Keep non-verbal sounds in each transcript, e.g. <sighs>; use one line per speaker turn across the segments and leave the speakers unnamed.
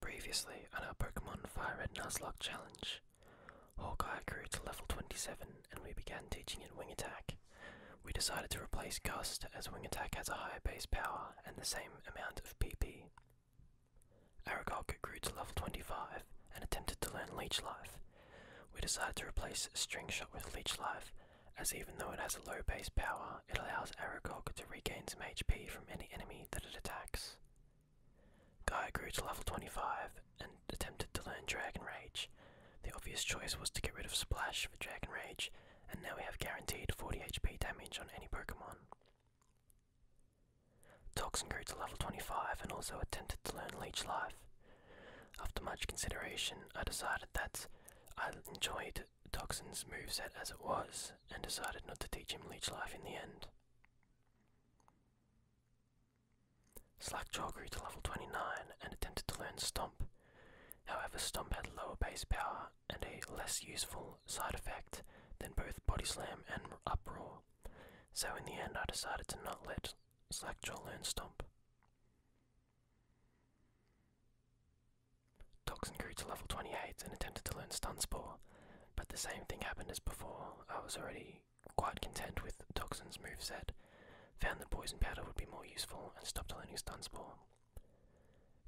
Previously on our Pokemon Fire Red Nuzlocke challenge, Hawkeye grew to level 27 and we began teaching it Wing Attack. We decided to replace Gust as Wing Attack has a higher base power and the same amount of PP. Aragaku grew to level 25 and attempted to learn Leech Life. We decided to replace String Shot with Leech Life, as even though it has a low base power, it allows Aragog to regain some HP from any enemy that it attacks. Guy grew to level 25 and attempted to learn Dragon Rage. The obvious choice was to get rid of Splash for Dragon Rage, and now we have guaranteed 40 HP damage on any Pokemon. Toxin grew to level 25 and also attempted to learn Leech Life. After much consideration, I decided that I enjoyed Toxin's move set as it was, and decided not to teach him Leech Life in the end. Slackjaw grew to level 29 and attempted to learn Stomp. However, Stomp had lower base power and a less useful side effect than both Body Slam and Uproar. So in the end, I decided to not let Slackjaw learn Stomp. Toxin grew to level 28 and attempted to learn Stun Spore, but the same thing happened as before. I was already quite content with Toxin's moveset, found that Poison Powder would be more useful, and stopped learning Stun Spore.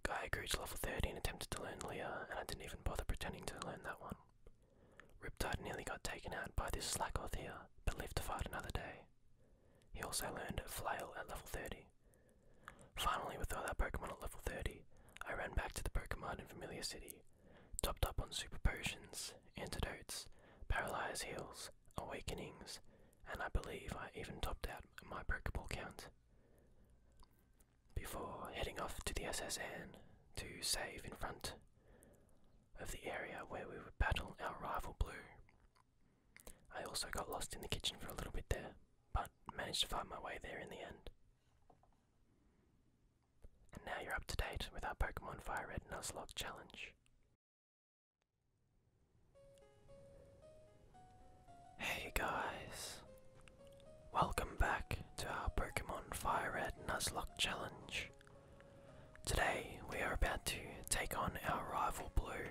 Gaia grew to level 30 and attempted to learn Leah, and I didn't even bother pretending to learn that one. Riptide nearly got taken out by this Slackoth here, but lived to fight another day. He also learned Flail at level 30. Finally, with all that Pokemon at level 30, I ran back to the Pokemon in Familiar City, topped up on super potions, antidotes, paralyze heals, awakenings, and I believe I even topped out my Pokeball count before heading off to the SSN to save in front of the area where we would battle our rival Blue. I also got lost in the kitchen for a little bit there, but managed to find my way there in the end. And now you're up to date with our Pokemon Fire Red Nuzlocke challenge. Hey guys, Welcome back to our Pokemon Fire Red Nuzlocke Challenge. Today we are about to take on our rival Blue.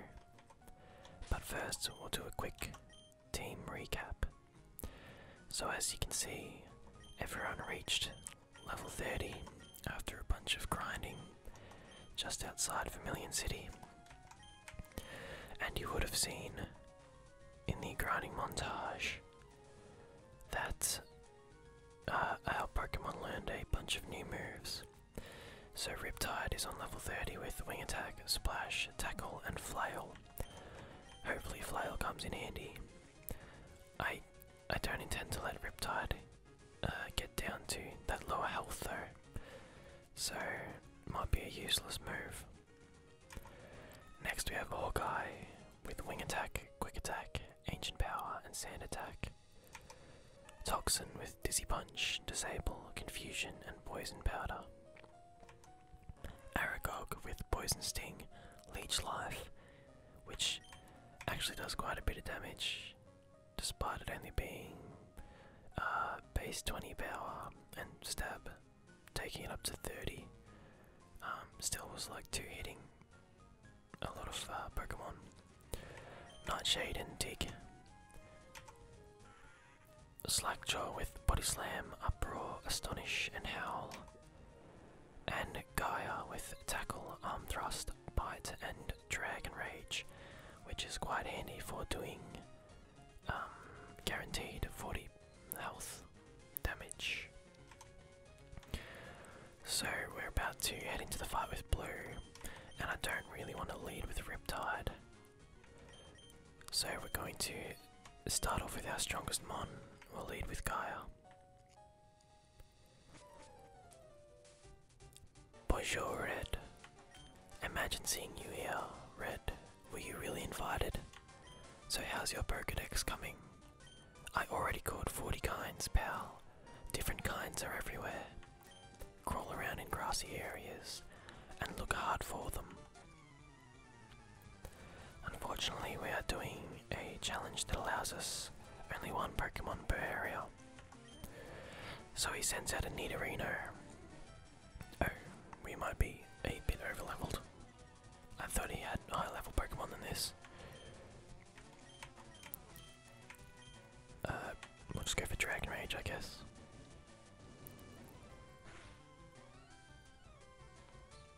But first we'll do a quick team recap. So as you can see, everyone reached level 30 after a bunch of grinding just outside Vermilion City. And you would have seen in the grinding montage that uh, our Pokemon learned a bunch of new moves. So Riptide is on level 30 with Wing Attack, Splash, Tackle, and Flail. Hopefully Flail comes in handy. I I don't intend to let Riptide uh, get down to that lower health though, so might be a useless move. Next we have Hawkeye with Wing Attack, Quick Attack, Ancient Power, and Sand Attack. Toxin with Dizzy Punch, Disable, Confusion, and Poison Powder. Aragog with Poison Sting, Leech Life, which actually does quite a bit of damage, despite it only being uh, base 20 power and stab taking it up to 30. Um, still was like two hitting a lot of uh, Pokemon. Nightshade and Dig. Slackjaw with Body Slam, Uproar, Astonish, and Howl. And Gaia with Tackle, Arm Thrust, Bite, and Dragon Rage, which is quite handy for doing um, guaranteed 40 health damage. So we're about to head into the fight with Blue, and I don't really want to lead with Riptide. So we're going to start off with our strongest Mon, we'll lead with Gaia. Bonjour, Red. Imagine seeing you here, Red. Were you really invited? So, how's your Pokedex coming? I already caught 40 kinds, pal. Different kinds are everywhere. Crawl around in grassy areas and look hard for them. Unfortunately, we are doing a challenge that allows us only one Pokemon per area. So he sends out a Nidorino. Oh, we might be a bit overleveled. I thought he had higher level Pokemon than this. Uh, we'll just go for Dragon Rage, I guess.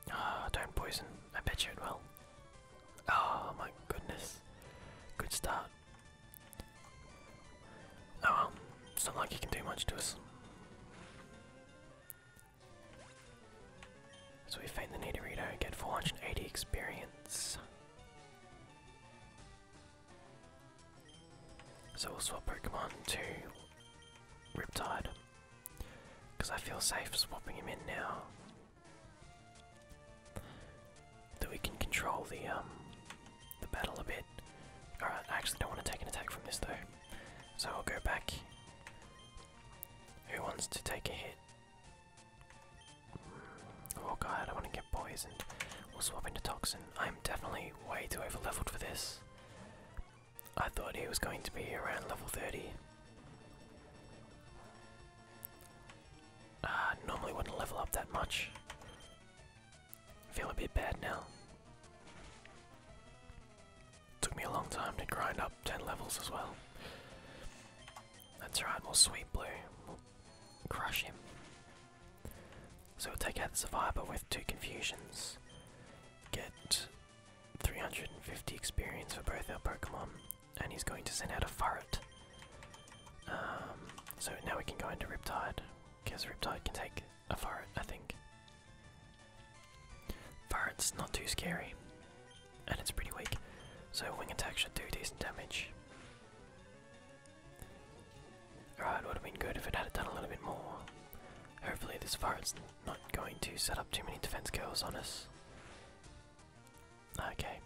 oh, ah, do poison. I bet you it will. Oh my goodness. Good start. Oh it's not like he can do much to us. So we find the Nidorito, get 480 experience. So we'll swap Pokemon to Riptide. Because I feel safe swapping him in now. That we can control the um, the battle a bit. Alright, I actually don't want to take an attack from this though. So I'll go back who wants to take a hit? Oh god, I want to get poisoned. We'll swap into Toxin. I'm definitely way too overleveled for this. I thought he was going to be around level 30. Ah, normally wouldn't level up that much. Feeling a bit bad now. Took me a long time to grind up 10 levels as well. That's right, we'll sweep blue. crush him. So we'll take out the survivor with two confusions. Get 350 experience for both our Pokemon. And he's going to send out a Furret. Um, so now we can go into Riptide. Because Riptide can take a Furret, I think. Varret's not too scary, and it's pretty weak, so wing attack should do decent damage. Alright, would have been good if it had done a little bit more. Hopefully, this Varret's not going to set up too many defense curls on us. Okay,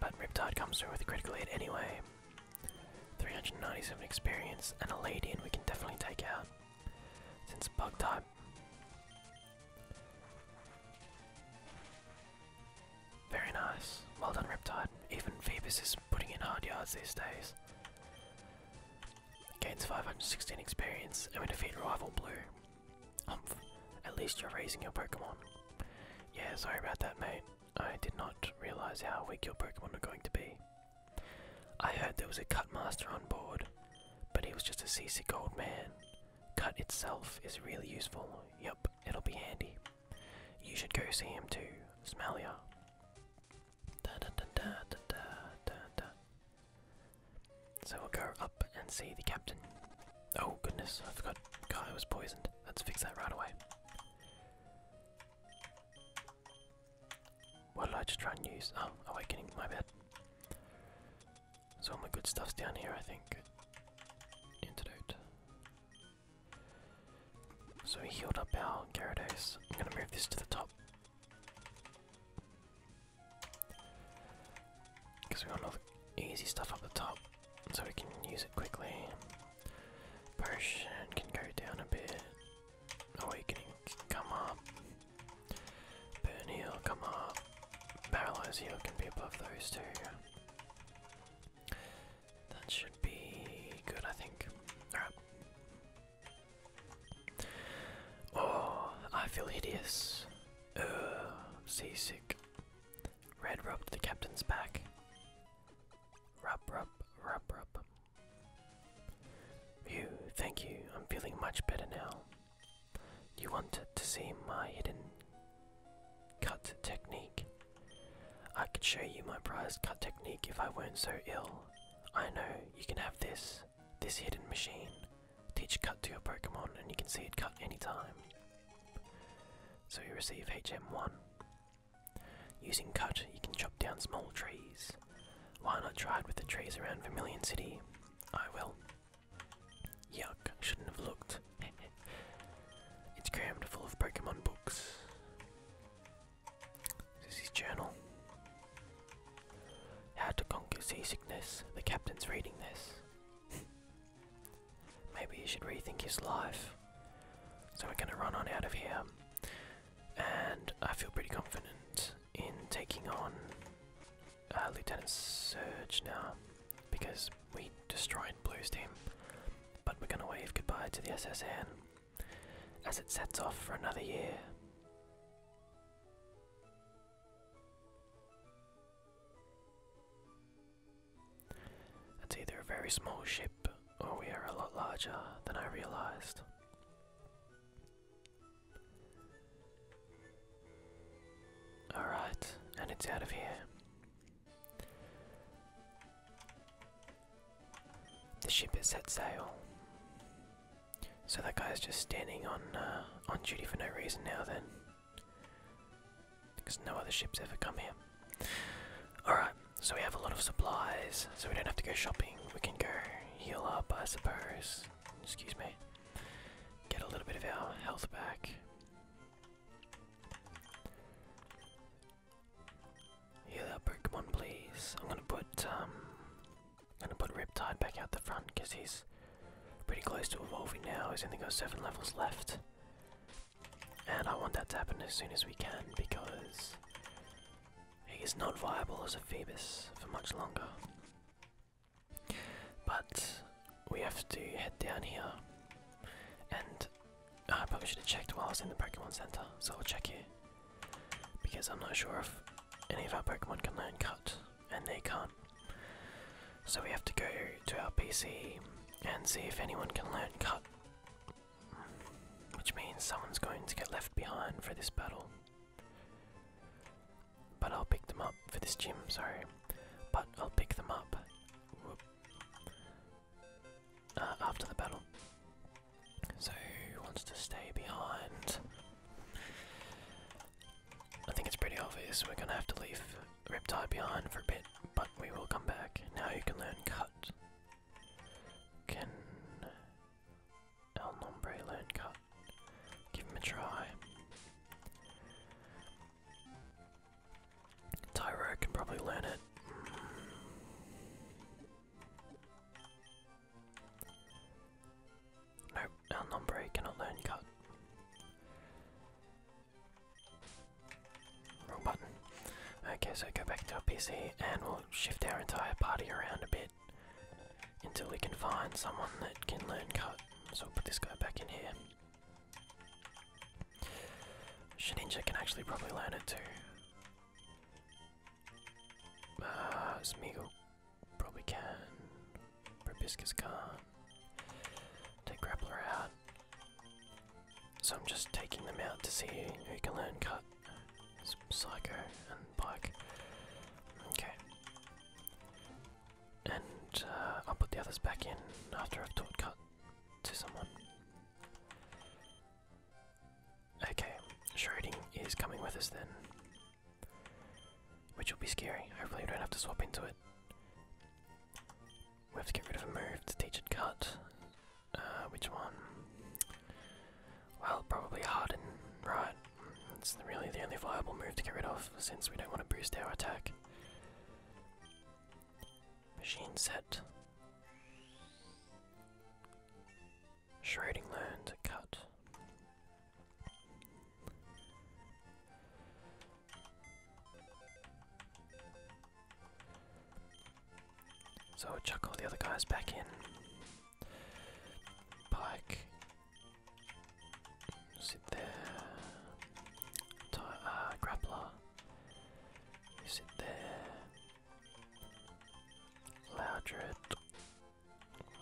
but Riptide comes through with a critical hit anyway. 397 experience and a lead in we can definitely take out since bug time. Very nice. Well done, Riptide. Even Phoebus is putting in hard yards these days. Gains 516 experience and we defeat rival Blue. At least you're raising your Pokemon. Yeah, sorry about that, mate. I did not realize how weak your Pokemon are going to be. I heard there was a cut master on board, but he was just a seasick old man. Cut itself is really useful. Yep, it'll be handy. You should go see him too, Smalia. Da, So we'll go up and see the captain. Oh goodness, I forgot Kai was poisoned. Let's fix that right away. What did I just try and use? Oh, awakening, my bad. So all my good stuff's down here, I think. Antidote. So we healed up our Gyarados. I'm gonna move this to the top. Because we want all the easy stuff up the top, so we can use it quickly. Potion can go down a bit. Awakening come up. Burn heal, come up. Paralyze heal can be above those two. That should be good, I think. Alright. Oh, I feel hideous. Ugh, seasick. Red rubbed the captain's back. Rub, rub, rub, rub. You, thank you. I'm feeling much better now. You wanted to see my hidden cut technique. I could show you my prized cut technique if I weren't so ill. I know, you can have this. This hidden machine. Teach cut to your Pokemon and you can see it cut anytime. So you receive HM1. Using cut, you can chop down small trees. Why not try it with the trees around Vermilion City? I will. Yuck, shouldn't have looked. <laughs> it's crammed full of Pokemon books. This is his journal. How to conquer seasickness. The captain's reading this. <laughs> Maybe he should rethink his life. So we're gonna run on out of here. And I feel pretty confident in taking on uh, Lieutenant Surge now because we destroyed Blue's team. But we're gonna wave goodbye to the SSN as it sets off for another year. That's either a very small ship or we are a lot larger than I realized. Alright, and it's out of here. The ship has set sail. So that guy's just standing on uh, on duty for no reason now then. Because no other ships ever come here. Alright, so we have a lot of supplies, so we don't have to go shopping. We can go heal up, I suppose. Excuse me. Get a little bit of our health back. Heal our Pokemon, please. I'm gonna put um, gonna put Riptide back out the front because he's pretty close to evolving now. He's only got seven levels left, and I want that to happen as soon as we can because he is not viable as a Phoebus for much longer. But we have to head down here. And I probably should have checked while I was in the Pokemon Center, so I'll check here. Because I'm not sure if any of our Pokemon can learn Cut, and they can't. So we have to go to our PC and see if anyone can learn Cut. Which means someone's going to get left behind for this battle. But I'll pick them up for this gym, sorry. But I'll pick them up uh, after the battle. So, who wants to stay behind? I think it's pretty obvious we're gonna have to leave Riptide behind for a bit, but we will come back. Now you can learn Cut. Can El Nombre Learn Cut. Give him a try. Tyro can probably learn it. Mm. Nope, El Nombre cannot learn Cut. Wrong button. Okay, so go back to our PC and we'll shift our entire party around a bit until we can find someone that can learn cut. So we'll put this guy back in here. Shininja can actually probably learn it too. Uh, probably can. Probiscus can't. Take Grappler out. So I'm just taking them out to see who can learn cut. Psycho and Pike. Okay. And uh, I'll put the others back in after I've taught cut to someone. Okay, Shredding is coming with us then. Which will be scary. Hopefully, we don't have to swap into it. We have to get rid of a move to teach it cut. Uh, which one? Well, probably Harden, right? It's really the only viable move to get rid of since we don't want to boost our attack. Machine set. Shredding learned to cut. So chuck all the other guys back in. Bike. Sit there. Uh, grappler. sit there. Loudred.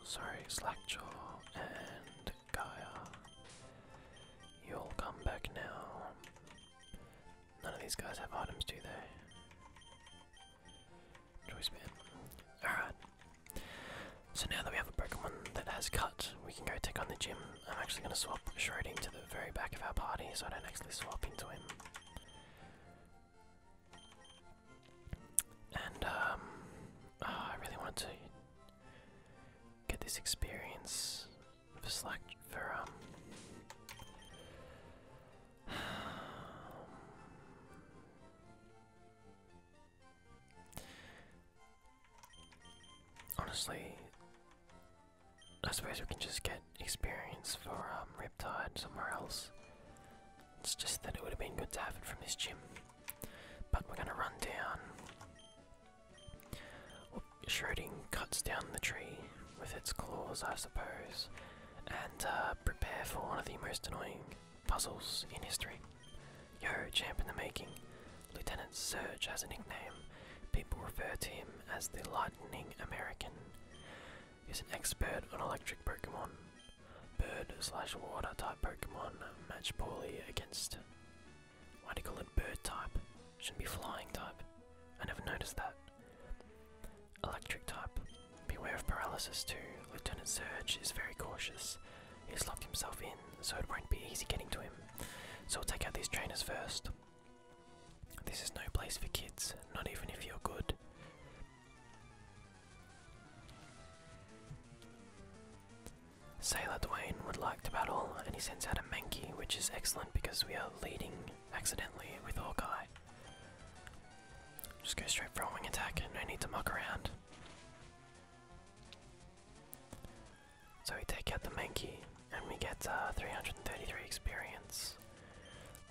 Sorry, Slackjaw and Gaia. You'll come back now. None of these guys have items, do they? Alright. So now that we have a Pokemon that has cut, we can go take on the gym. I'm actually going to swap Shrouding to the very back of our party so I don't actually swap into him. And, um, ah, I really want to get this experience for Slack, for, um, <sighs> Honestly, I suppose we can just get experience for um, Riptide somewhere else. It's just that it would have been good to have it from this gym. But we're gonna run down. Well, cuts down the tree with its claws, I suppose, and uh, prepare for one of the most annoying puzzles in history. Yo, champ in the making. Lieutenant Surge has a nickname. People refer to him as the Lightning American. He's an expert on electric Pokemon. Bird slash water type Pokemon match poorly against. Why do you call it bird type? Shouldn't be flying type. I never noticed that. Electric type. Beware of paralysis too. Lieutenant Surge is very cautious. He's locked himself in, so it won't be easy getting to him. So we'll take out these trainers first. This is no place for kids, not even if you're good. Sailor Dwayne would like to battle, and he sends out a Mankey, which is excellent because we are leading accidentally with Hawkeye. Just go straight for a wing attack, and I need to muck around. So we take out the Mankey, and we get uh, 333 experience.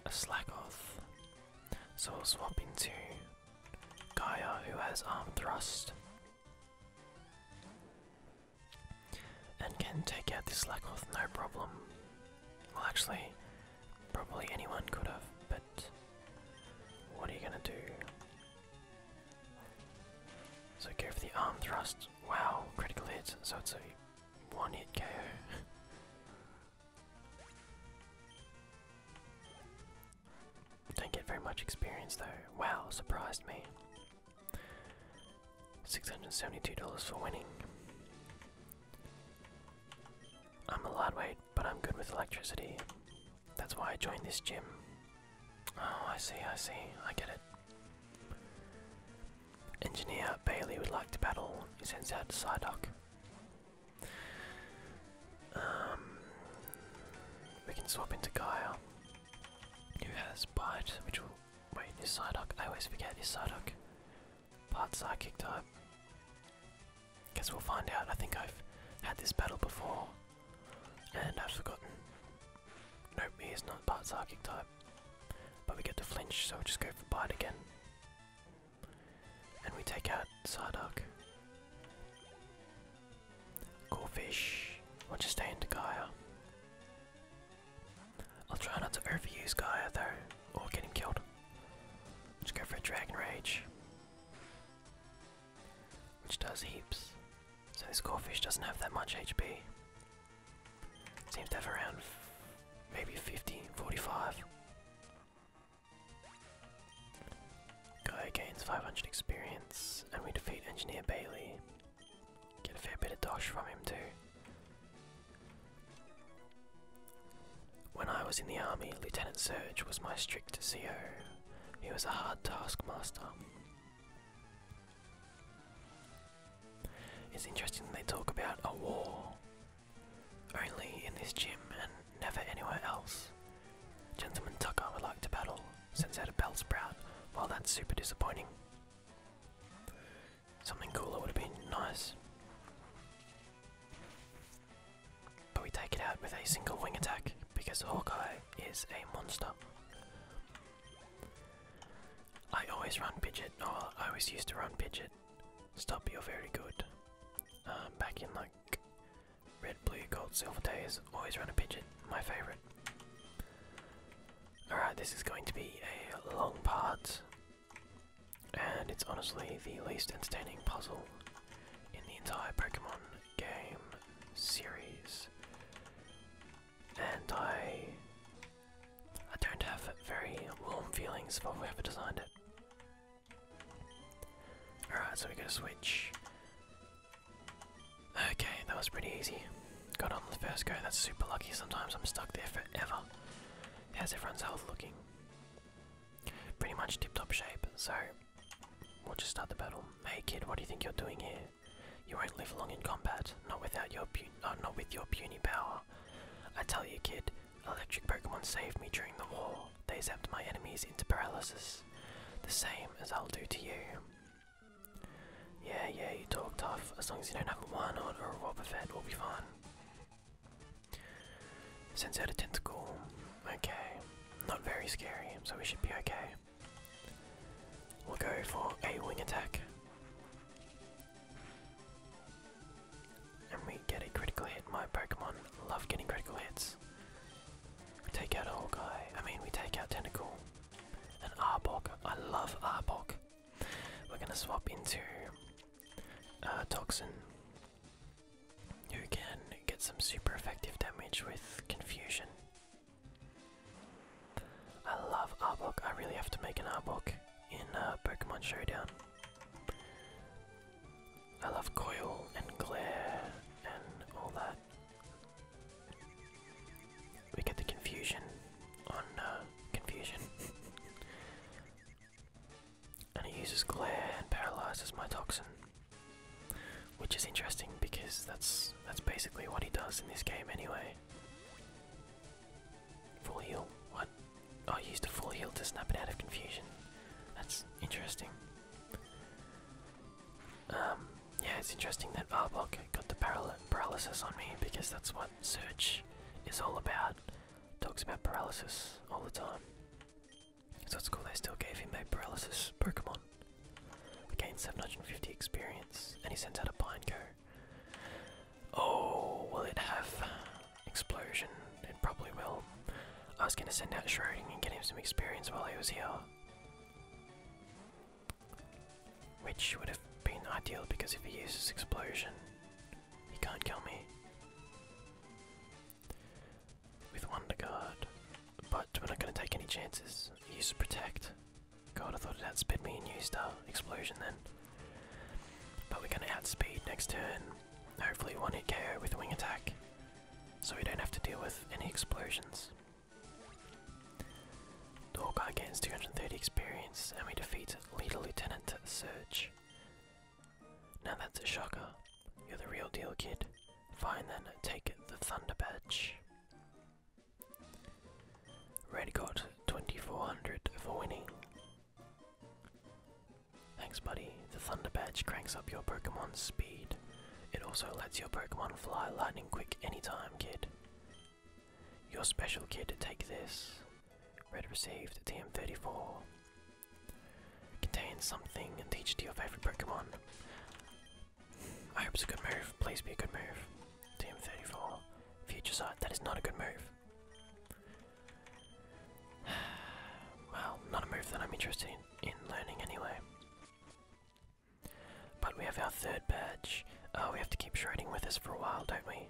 A Slackoth. So we'll swap into Gaia, who has Arm Thrust. And can take out this Slackoth no problem. Well, actually, probably anyone could have, but what are you gonna do? So go for the arm thrust. Wow, critical hit, so it's a one hit KO. <laughs> Don't get very much experience though. Wow, surprised me. $672 for winning. I'm a lightweight, but I'm good with electricity. That's why I joined this gym. Oh, I see, I see, I get it. Engineer Bailey would like to battle. He sends out Psyduck. Um, we can swap into Gaia, who has Bite, which will. Wait, is Psyduck? I always forget, is Psyduck Part psychic type. Guess we'll find out. I think I've had this battle before. And I've forgotten. Nope, he is not part psychic type. But we get to flinch, so we'll just go for bite again. And we take out Psyduck. Cool fish. We'll just stay into Gaia. I'll try not to overuse Gaia though, or get him killed. Let's go for a Dragon Rage. Which does heaps. So this Gorefish doesn't have that much HP. Seems to have around maybe 50, 45. Guy gains 500 experience, and we defeat Engineer Bailey. Get a fair bit of dosh from him too. When I was in the army, Lieutenant Surge was my strict CO. He was a hard taskmaster. It's interesting they talk about a war. Only in this gym and never anywhere else. Gentleman Tucker would like to battle, sends out a bell sprout, while that's super disappointing. Something cooler would have been nice. But we take it out with a single wing attack because Hawkeye is a monster. I always run Pidget, or I always used to run Pidget. Stop, you're very good. Um, back in like red, blue, gold, silver days, always run a Pidget, my favourite. Alright, this is going to be a long part. And it's honestly the least entertaining puzzle in the entire Pokemon game series. And I I don't have very warm feelings for whoever designed it. Alright, so we got to switch. Okay, that was pretty easy. Got on the first go, that's super lucky. Sometimes I'm stuck there forever. How's everyone's health looking? pretty much tip-top shape, so we'll just start the battle. Hey kid, what do you think you're doing here? You won't live long in combat, not without your pu uh, not with your puny power. I tell you, kid, electric Pokemon saved me during the war. They zapped my enemies into paralysis, the same as I'll do to you. Yeah, yeah, you talk tough. As long as you don't have a Warnod or a Wobbuffet, we'll be fine. Sends out a tentacle. Okay. Not very scary, so we should be okay. We'll go for a wing attack. And we get a critical hit. My Pokemon love getting critical hits. We take out a guy. I mean, we take out Tentacle. And Arbok. I love Arbok. We're gonna swap into uh, Toxin. You can get some super effective damage with confusion. I love Arbok. I really have to make an Arbok in uh, Pokemon Showdown. I love Coil and Glare and all that. We get the confusion on uh, confusion. <laughs> and he uses glare and paralyzes my toxin. Which is interesting because that's that's basically what he does in this game anyway. Full heal? What? I oh, used a full heal to snap it out of confusion. That's interesting. Um, yeah, it's interesting that Arbok got the paralysis on me because that's what Search is all about. Talks about paralysis all the time. So it's cool they still gave him a paralysis Pokemon. Gains 750 experience, and he sends out a Pineco. Oh, will it have explosion? It probably will. I was gonna send out Shrouding and get him some experience while he was here. Which would have been ideal because if he uses explosion, he can't kill me. With Wonder Guard. But we're not going to take any chances. Use Protect. God, I thought it outspeed me in U-Star. Explosion then. But we're going to outspeed next turn. Hopefully one hit KO with Wing Attack. So we don't have to deal with any explosions. Dorkar gains 230 experience and we defeat Leader Lieutenant Surge. Now that's a shocker. You're the real deal, kid. Fine then, take the Thunder Badge. Red got 2400 for winning. Thanks, buddy. The Thunder Badge cranks up your Pokemon's speed. It also lets your Pokemon fly lightning quick anytime, kid. Your special, kid. Take this. Red received the m 34 Contains something and the HD of every Pokemon. I hope it's a good move. Please be a good move. Team 34. Future Sight. That is not a good move. <sighs> well, not a move that I'm interested in, in learning anyway. But we have our third badge. Oh, we have to keep trading with us for a while, don't we?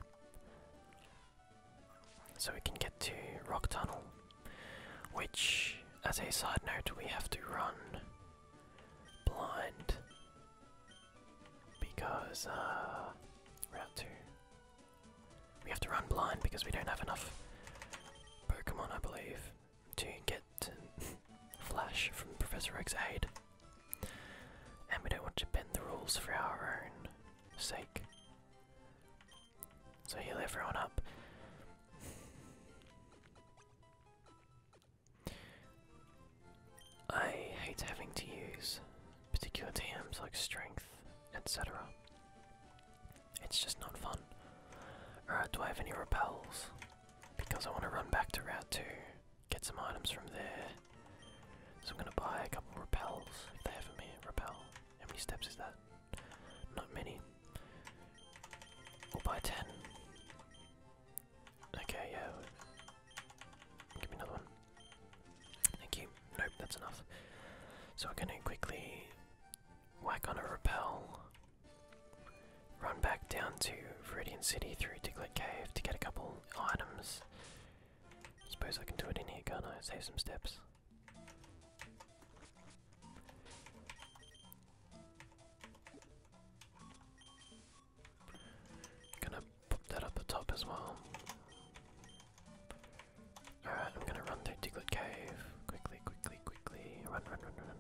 so we can get to Rock Tunnel, which, as a side note, we have to run blind because uh, Route 2. We have to run blind because we don't have enough Pokemon, I believe, to get <laughs> Flash from Professor Oak's aid. And we don't want to bend the rules for our own sake. So he'll have everyone up. I hate having to use particular TMs like strength, etc. It's just not fun. Alright, do I have any repels? Because I want to run back to Route 2, get some items from there. So I'm going to buy a couple repels if they have me repel. How many steps is that? Not many. Or by ten. Okay, yeah. Give me another one. Thank you. Nope, that's enough. So we're gonna quickly whack on a repel, run back down to Veridian City through Diglett Cave to get a couple items, Suppose I can do it in here, can't I? Save some steps. Gonna pop that up the top as well. Alright, I'm gonna run through Diglett Cave. Quickly, quickly, quickly. Run, run, run, run.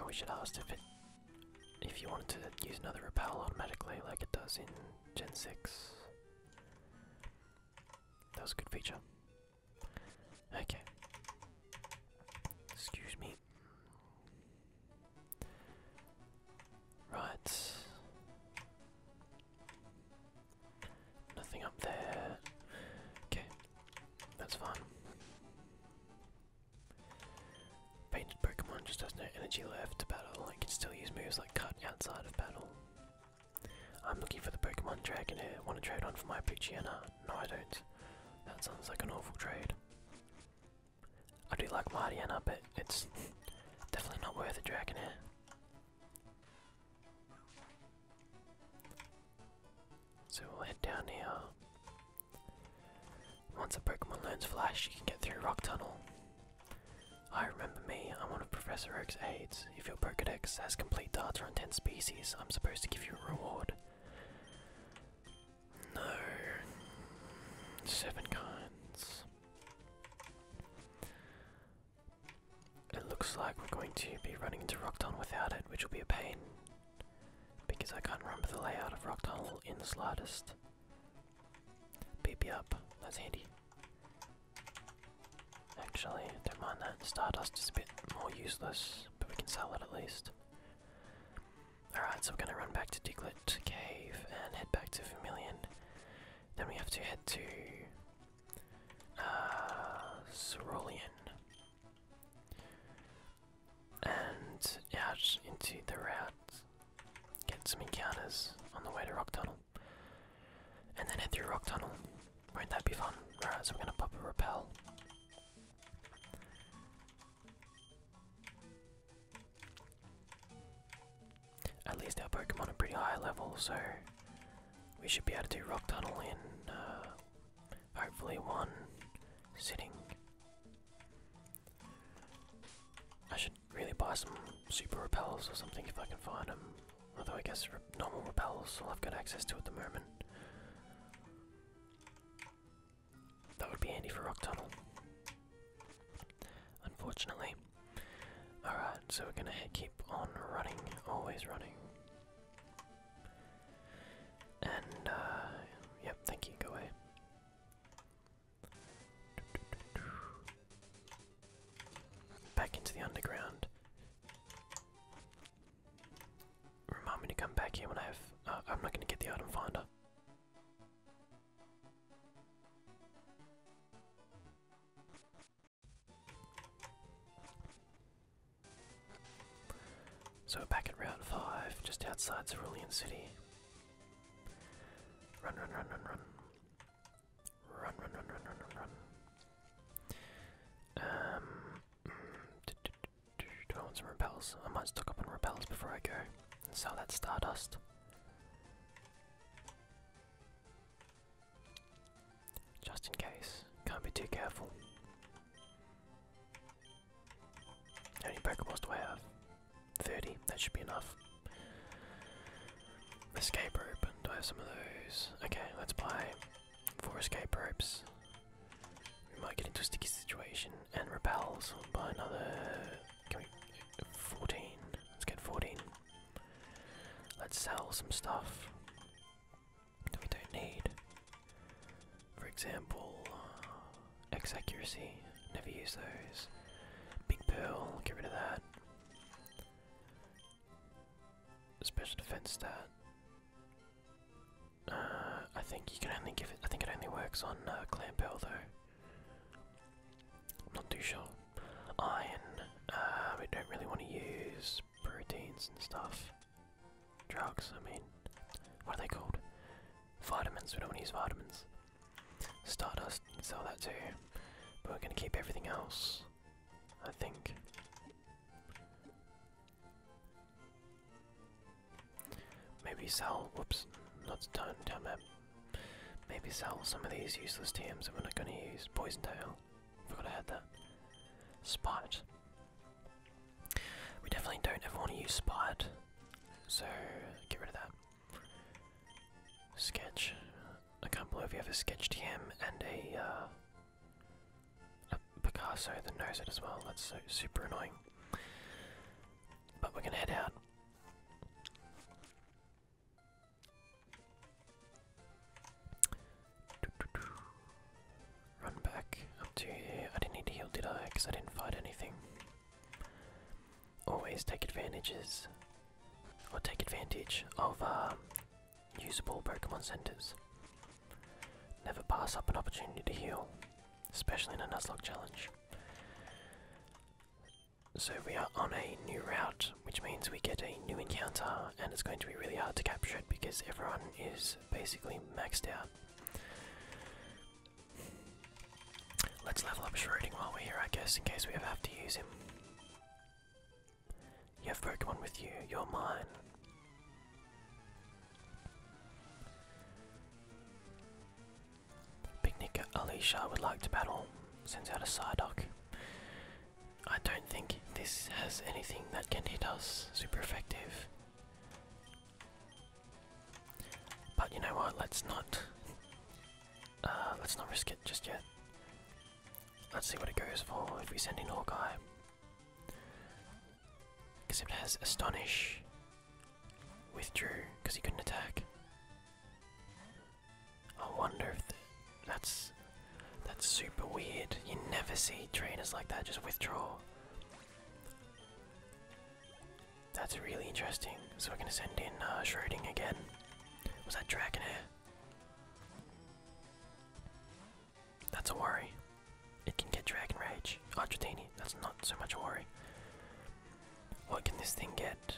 I wish should asked if it, if you wanted to use another repel automatically, like it does in Gen Six. That was a good feature. Okay. Excuse me. Right. Nothing up there. Okay, that's fine. Painted Pokemon just has no energy left to battle, it can still use moves like Cut outside of battle. I'm looking for the Pokemon Dragon here. Want to trade one for my Pichiana? No, I don't. That sounds like an awful trade. I do like Mardiana, but it's <laughs> definitely not worth a Dragonair. So we'll head down here. Once a Pokemon learns Flash, you can get through Rock Tunnel. I remember me, I'm one of Professor Oak's aides. If your Pokedex has complete data on 10 species, I'm supposed to give you a reward. No. Seven kinds. It looks like we're going to be running into Rockton without it, which will be a pain. Because I can't remember the layout of Rocktunnel in the slightest. BP up, that's handy. Actually, don't mind that. Stardust is a bit more useless, but we can sell it at least. Alright, so we're going to run back to Diglett Cave and head back to Vermilion. Then we have to head to uh, cerulean. And out into the rats. get some encounters on the way to Rock Tunnel. And then head through Rock Tunnel. Won't that be fun? Alright, so we're gonna pop a repel. At least our Pokemon are pretty high level, so we should be able to do Rock Tunnel in uh, hopefully one sitting. I should really buy some super repels or something if I can find them. Although I guess normal repels all I've got access to at the moment. That would be handy for Rock Tunnel. Unfortunately, Alright, so we're gonna keep on running, always running. And, uh, yep, thank you, go away. Back into the underground. Remind me to come back here when I have. Uh, I'm not gonna get the item finder. So back at round 5, just outside Cerulean City. Run, run, run, run, run. Run, run, run, run, run, run, run. Um, mm, <clears throat> do I want some repels? I might stock up on repels before I go and sell that Stardust. Just in case. Can't be too careful. How many Pokeballs do I have? 30. That should be enough. Escape rope. Do I have some of those? Okay, let's buy four escape ropes. We might get into a sticky situation. And repels. We'll buy another. Can we. 14. Let's get 14. Let's sell some stuff that we don't need. For example, uh, X accuracy, never use those. Big Pearl, get rid of that. Special defense stat. Uh, I think you can only give it. I think it only works on uh, Clan Pearl though. I'm not too sure iron. Uh, we don't really want to use proteins and stuff. Drugs, I mean. What are they called? Vitamins, we don't want to use vitamins. Stardust, sell that too. But we're going to keep everything else, I think. Maybe sell, whoops, not down, down there. Maybe sell some of these useless TMs that we're not going to use. Poison Tail forgot I had that. Spite. We definitely don't ever want to use spite, so get rid of that. Sketch. I can't believe you have a sketch TM and uh, a, Picasso that knows it as well. That's super annoying. But we're gonna head out. Run back I didn't need to heal, did I? Because I didn't fight anything. Always take advantages, or take advantage of um, usable Pokemon centers. Never pass up an opportunity to heal, especially in a Nuzlocke challenge. So we are on a new route, which means we get a new encounter, and it's going to be really hard to capture it because everyone is basically maxed out. Let's level up Shroding while we're here, I guess, in case we ever have to use him. You have Pokemon with you, you're mine. Picnic Alicia would like to battle, sends out a Psyduck. I don't think this has anything that can hit us super effective. But you know what? Let's not. Uh, let's not risk it just yet. Let's see what it goes for if we send in Hawkeye. Because it has Astonish, withdrew because he couldn't attack. I wonder if that's that's super weird. You never see trainers like that just withdraw. That's really interesting. So we're gonna send in uh, Schroding again. Was that Dragonair? That's a worry. It can get Dragon Rage. Argentini, that's not so much a worry. What can this thing get?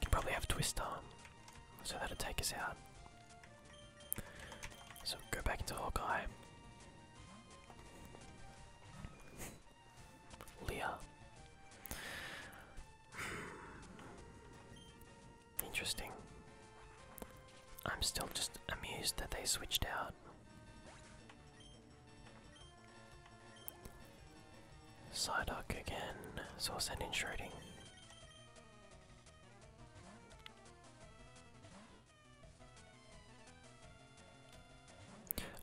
Can probably have a twist arm, so that'll take us out. So go back into Hawkeye. Leah. <sighs> Interesting. I'm still just amused that they switched out. Psyduck again, so I'll send in Shredding.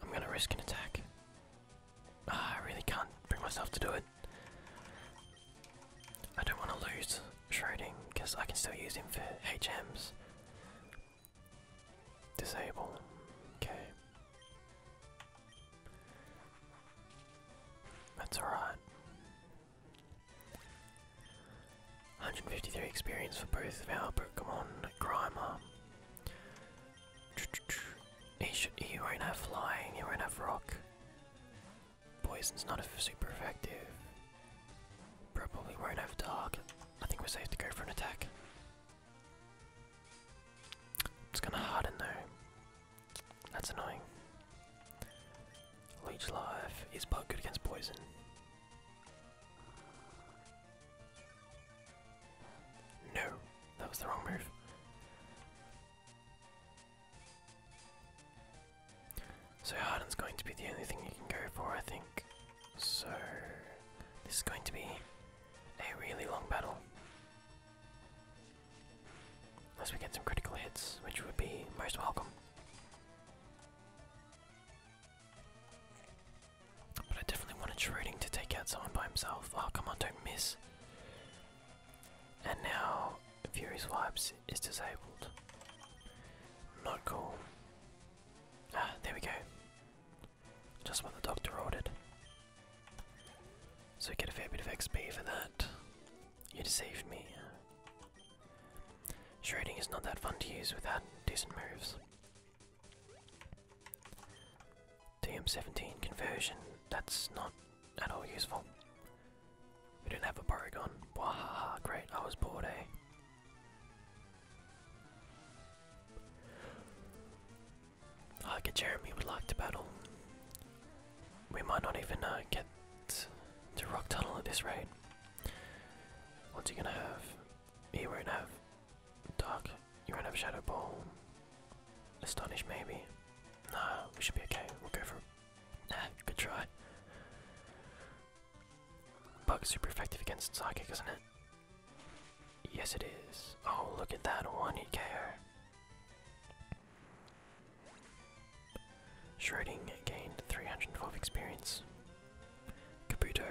I'm gonna risk an attack. Ah, I really can't bring myself to do it. I don't want to lose Shredding because I can still use him for HMs. Disable. Okay. That's alright. 153 experience for both of our Pokemon Grimer. He, should, he won't have flying, he won't have rock. Poison's not super effective. Probably won't have dark. I think we're safe to go for an attack. It's kind of hard in there. That's annoying. Leech Life is bad good against poison. No, that was the wrong move. So Harden's going to be the only thing you can go for, I think. So this is going to be a really long battle. Unless we get some critical hits, which would be most welcome. But I definitely wanted Schroding to take out someone by himself. Oh, come on, don't miss. And now Fury Swipes is disabled. Not cool. Ah, there we go. Just what the doctor ordered. So I get a fair bit of XP for that. You deceived me. Shredding is not that fun to use without decent moves. TM17 conversion, that's not at all useful. We did not have a Porygon. Wahaha, great, I was bored, eh? I Like Jeremy would like to battle. We might not even uh, get to Rock Tunnel at this rate. What's he gonna have? He won't have Dark. You won't have Shadow Ball. Astonish maybe. Nah, we should be okay. We'll go for Nah, good try. Bug's super effective against Psychic, isn't it? Yes it is. Oh, look at that, one hit KO. Shrouding gained 312 experience. Kabuto.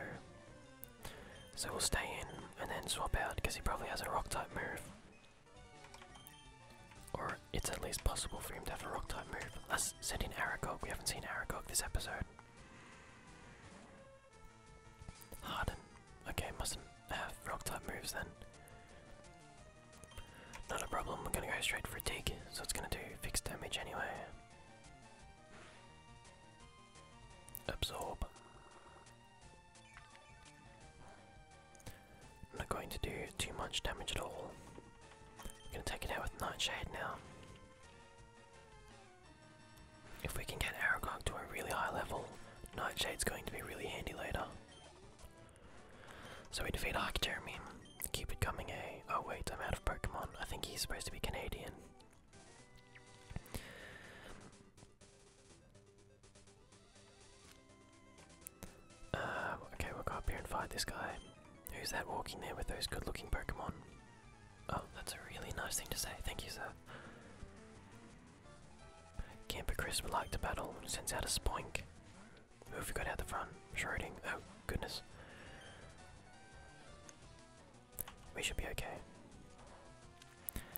So we'll stay in and then swap out because he probably has a rock type move. Or it's at least possible for him to have a rock type move. Let's send in Aragog. We haven't seen Aragog this episode. Harden. Okay, mustn't have rock type moves then. Not a problem, we're gonna go straight for a dig, so it's gonna do fixed damage anyway. Absorb. Not going to do too much damage at all. I'm gonna take it out with Nightshade now. If we can get Aragog to a really high level, Nightshade's going to be really handy later. So we defeat Hawk Jeremy. Keep it coming, a. Eh? Oh wait, I'm out of Pokemon. I think he's supposed to be Canadian. Uh, okay, we'll go up here and fight this guy. Who's that walking there with those good-looking Pokemon? Oh, that's a really nice thing to say. Thank you, sir. Camper Chris would like to battle, sends out a spoink. Who have we got out the front? Schroding. Oh, goodness. We should be okay.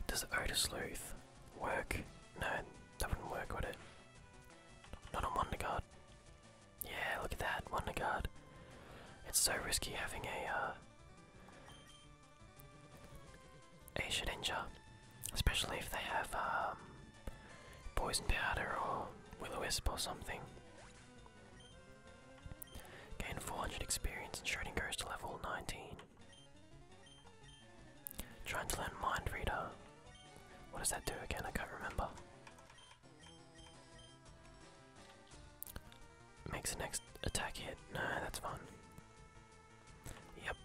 Does Otis Sleuth work? No, that wouldn't work, would it? Not on Wonderguard. Yeah, look at that, Wonderguard. It's so risky having a uh, should injure, Especially if they have um, poison powder or willow wisp or something. Gain 400 experience and shredding goes to level 19. Trying to learn Mind Reader. What does that do again? I can't remember. Makes the next attack hit. No, that's fun. Yep.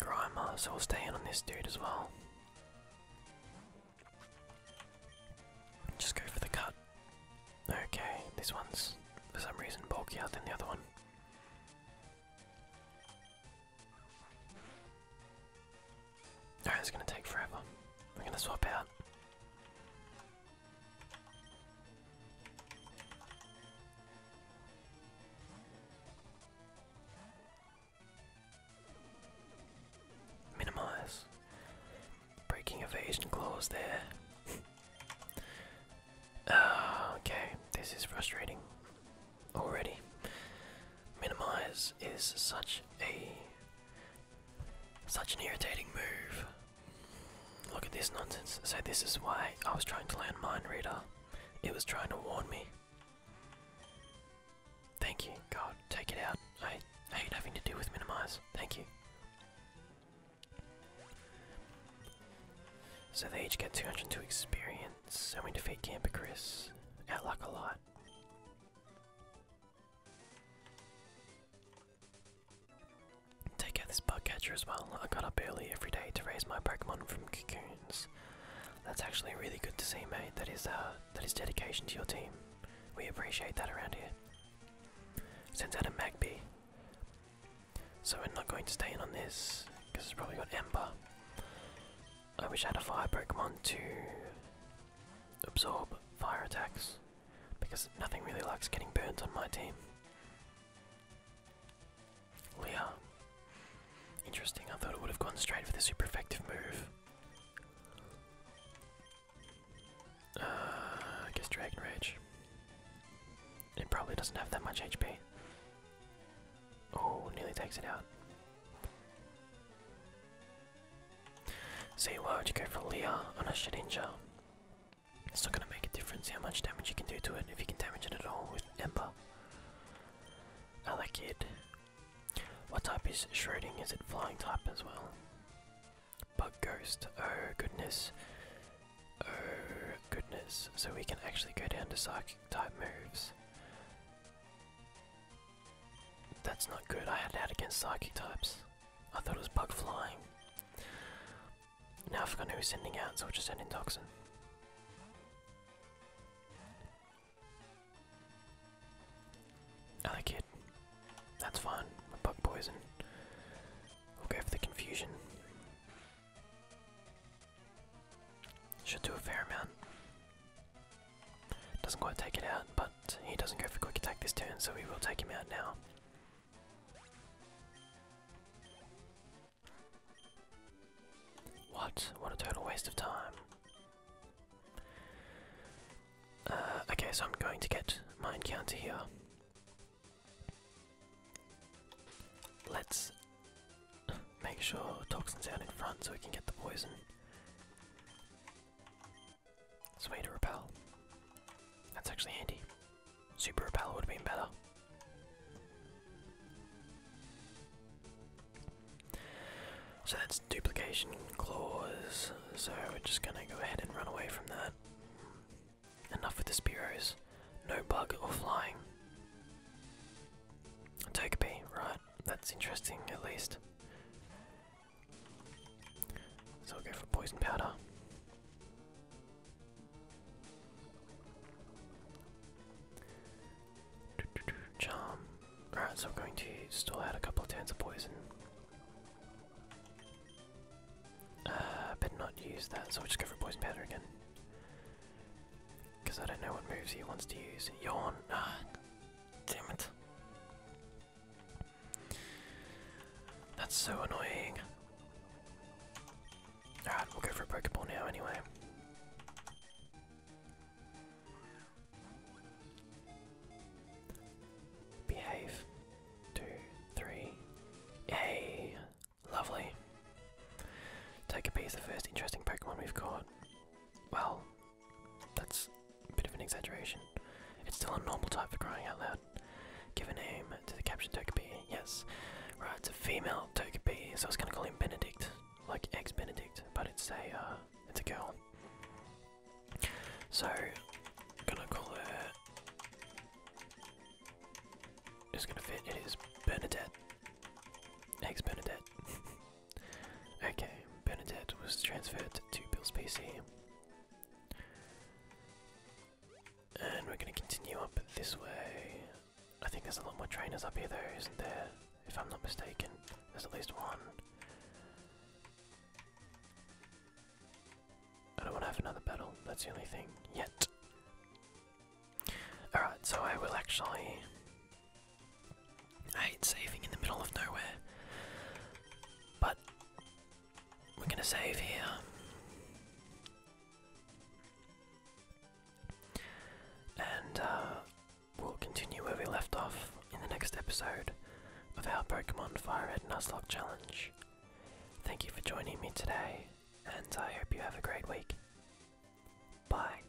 Grimer, so we'll stay in on this dude as well. Just go for the cut. Okay, this one's for some reason bulkier than the other one. Alright, it's gonna take forever. We're gonna swap out. Minimize. Breaking evasion claws there. uh, <laughs> okay, this is frustrating already. Minimize is such a such an irritating move. Look at this nonsense. So, this is why I was trying to land Mind Reader. It was trying to warn me. Thank you, God. Take it out. I, I hate having to deal with Minimize. Thank you. So, they each get 202 experience, and we defeat Camper Chris. Out luck a lot. Take out this bug catcher as well. I got up early every day to raise my Pokemon from cocoons. That's actually really good to see, mate. That is uh, that is dedication to your team. We appreciate that around here. Sends out a Magpie. So we're not going to stay in on this because it's probably got Ember. I wish I had a fire Pokemon to absorb fire attacks because nothing really likes getting burnt on my team. Leon. Interesting, I thought it would have gone straight for the super effective move. Uh, guess Dragon Rage. It probably doesn't have that much HP. Oh, nearly takes it out. See, why would you go for Leah on a Shedinja? It's not gonna make a difference how much damage you can do to it if you can damage it at all with Ember. I like it. What type is shredding? Is it flying type as well? Bug ghost. Oh goodness. Oh goodness. So we can actually go down to psychic type moves. That's not good. I had out against psychic types. I thought it was bug flying. Now I've forgotten who's sending out, so I'll just send in Toxin. Other kid. That's fine. My bug poison. we for the confusion. Should do a fair amount. Doesn't quite take it out, but he doesn't go for quick attack this turn, so we will take him out now. What? What a total waste of time. Uh, okay, so I'm going to get my encounter here. Let's make sure Toxin's out in front so we can get the poison. It's repel. That's actually handy. Super Repel would have been better. So that's duplication clause. So we're just gonna go ahead and run away from that. Enough with the Spiros. No bug or flying. Togepi, right. That's interesting at least. So we'll go for poison powder. Charm. Alright, so I'm going to still add a couple of turns of poison. Uh, better not use that, so we'll just go for poison powder again. Because I don't know what moves he wants to use. Yawn. Ah, damn it. That's so annoying. Alright, we'll go for a Pokeball now anyway. Behave. Two, three. Yay! Lovely. Take a piece, the first interesting Pokemon we've caught. Well, that's a bit of an exaggeration. It's still a normal type for crying out loud. Give a name to the captured Togepi. Yes. Right, it's a female Togepi, so I was gonna call him Benedict. Like ex Benedict, but it's a uh, it's a girl. So I'm gonna call her Just gonna fit it is Benedict. Ex Benedict. <laughs> okay, Benedict was transferred to Bill's PC. And we're gonna continue up this way. I think there's a lot more trainers up here though, isn't there? If I'm not mistaken, there's at least one. I don't want to have another battle, that's the only thing, yet. Alright, so I will actually... hate saving in the middle of nowhere. But we're gonna save here. And uh, we'll continue where we left off in the next episode of our Pokemon Fire Red Nuzlocke Challenge. Thank you for joining me today, and I hope you have a great week. Bye.